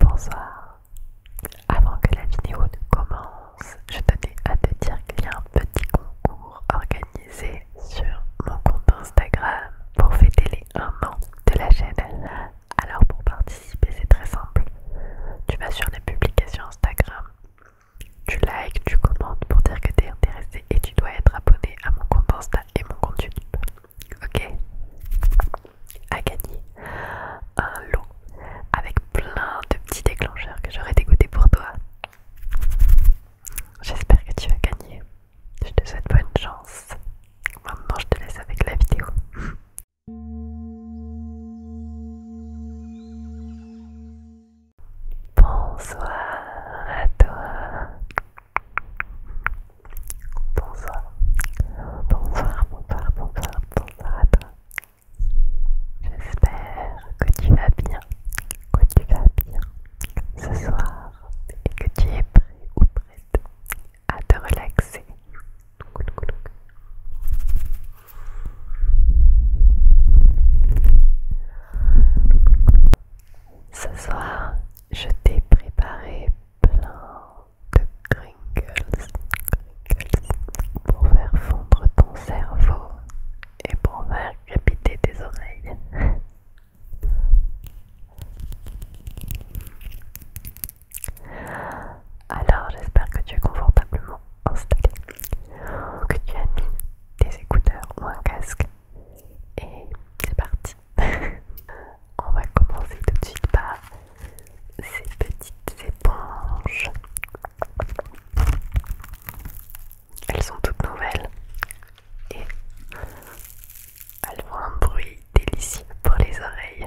Bonsoir. Avant que la vidéo ne commence, je tenais à te dire qu'il y a un petit concours organisé sur mon compte Instagram pour fêter les 1 an de la chaîne. Alors pour participer, c'est très simple. Tu vas sur les publications Instagram, tu likes, tu commentes pour dire que tu es intéressé et tu dois être abonné à mon compte Insta et mon compte YouTube. Ok. à gagné un lot avec plein de petits déclencheurs que j'aurais dégoûté pour toi. J'espère que tu as gagné. Je te souhaite bonne chance. Maintenant, je te laisse avec la vidéo. Bonsoir à toi. Bonsoir. Bonsoir, bonsoir, bonsoir, bonsoir à toi. J'espère que tu vas bien, que tu vas bien ce soir et que tu es prêt ou prête à te relaxer. Ce soir, je t'ai préparé plein de crinkles, pour faire fondre ton cerveau et pour faire capiter tes oreilles. Alors j'espère que tu es confortablement installé, que tu as mis tes écouteurs ou un casque et c'est parti. On va commencer tout de suite par ces petites éponges. Elles sont toutes nouvelles et elles font un bruit délicieux pour les oreilles.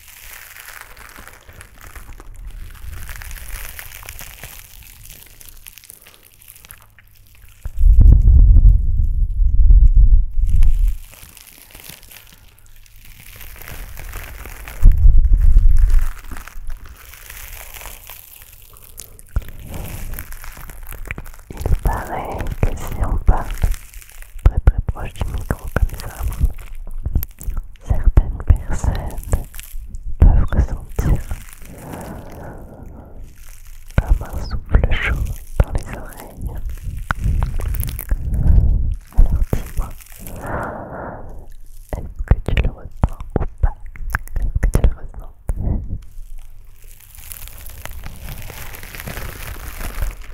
Il paraît que si on parle très très proche du micro comme ça, certaines personnes peuvent ressentir comme un souffle chaud dans les oreilles. Alors dis-moi, est-ce que tu le ressens ou pas Est-ce que tu le ressens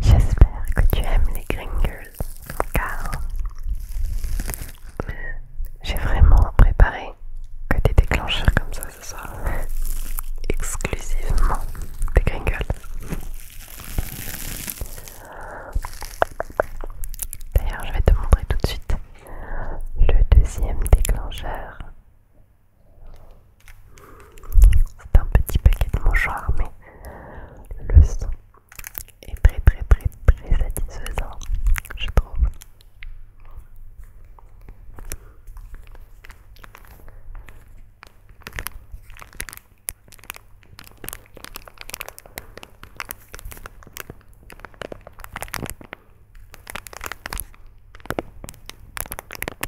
J'espère que tu aimes les Gringles car j'ai vraiment préparé que des déclencheurs comme ça ce soir exclusivement des Gringles. D'ailleurs, je vais te montrer tout de suite le deuxième déclencheur c'est un petit paquet de mouchoirs, mais le son est très très très très satisfaisant, je trouve.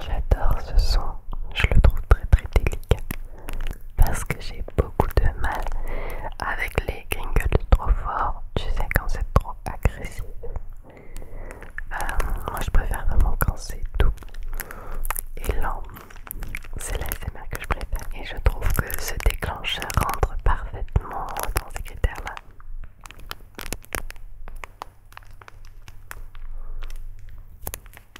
J'adore ce son, je le trouve très très délicat parce que j'ai beaucoup de mal avec les gringles trop forts, tu sais, quand c'est trop agressif. Euh, moi, je préfère vraiment quand c'est doux et lent. C'est l'ASMR que je préfère et je trouve que ce déclencheur rentre parfaitement dans ces critères-là.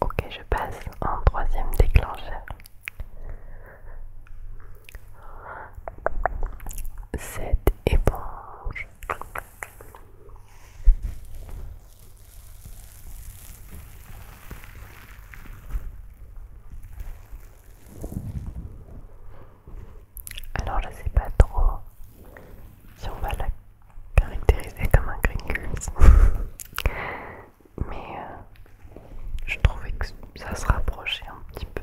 Ok, je passe en troisième déclencheur. Cette éponge. Alors je sais pas trop si on va la caractériser comme un green Mais euh, je trouvais que ça se rapprochait un petit peu.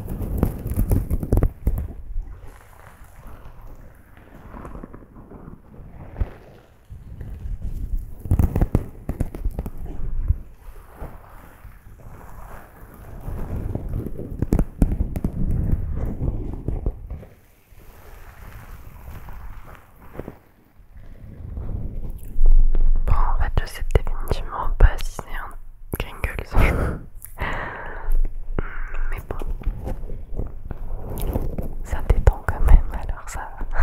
Bon, en fait, je sais définitivement pas si c'est un Kringles. Hmm, mais bon, ça dépend quand même, alors ça va.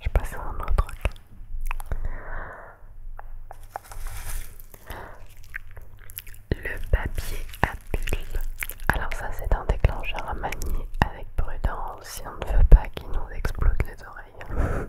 Je passe à un autre Le papier à bulles. Alors ça c'est un déclencheur à manier avec prudence si on ne veut pas qu'il nous explose les oreilles.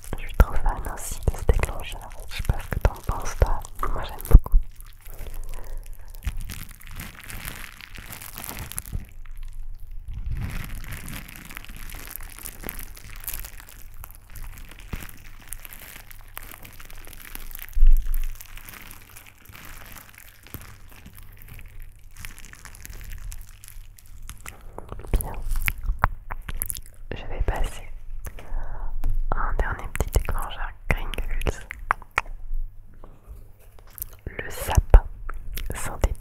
Je suis trop fan aussi de ce déclencheur. Je sais pas ce que t'en penses toi. Moi j'aime beaucoup. Bien. Je vais passer un dernier petit déclencheur Gringles. Le sapin synthétique.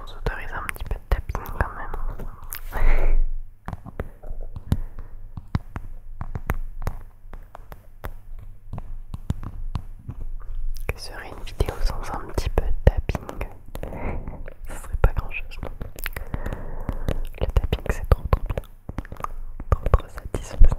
On s'autorise un petit peu de tapping quand même. Que serait une vidéo sans un petit peu de tapping Ce serait pas grand chose non Le tapping c'est trop trop bien, trop trop satisfaisant.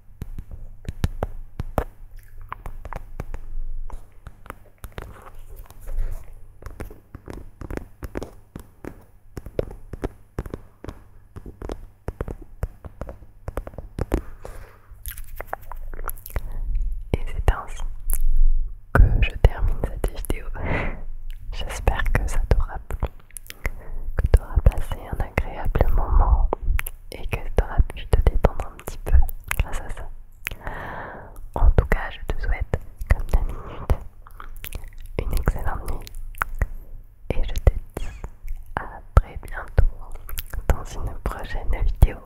Et c'est ainsi que je termine cette vidéo. J'espère que ça t'aura plu que tu auras passé un agréable moment et que tu auras pu te détendre un petit peu grâce à ça. En tout cas, je te souhaite, comme d'habitude une excellente nuit et je te dis à très bientôt dans une prochaine vidéo.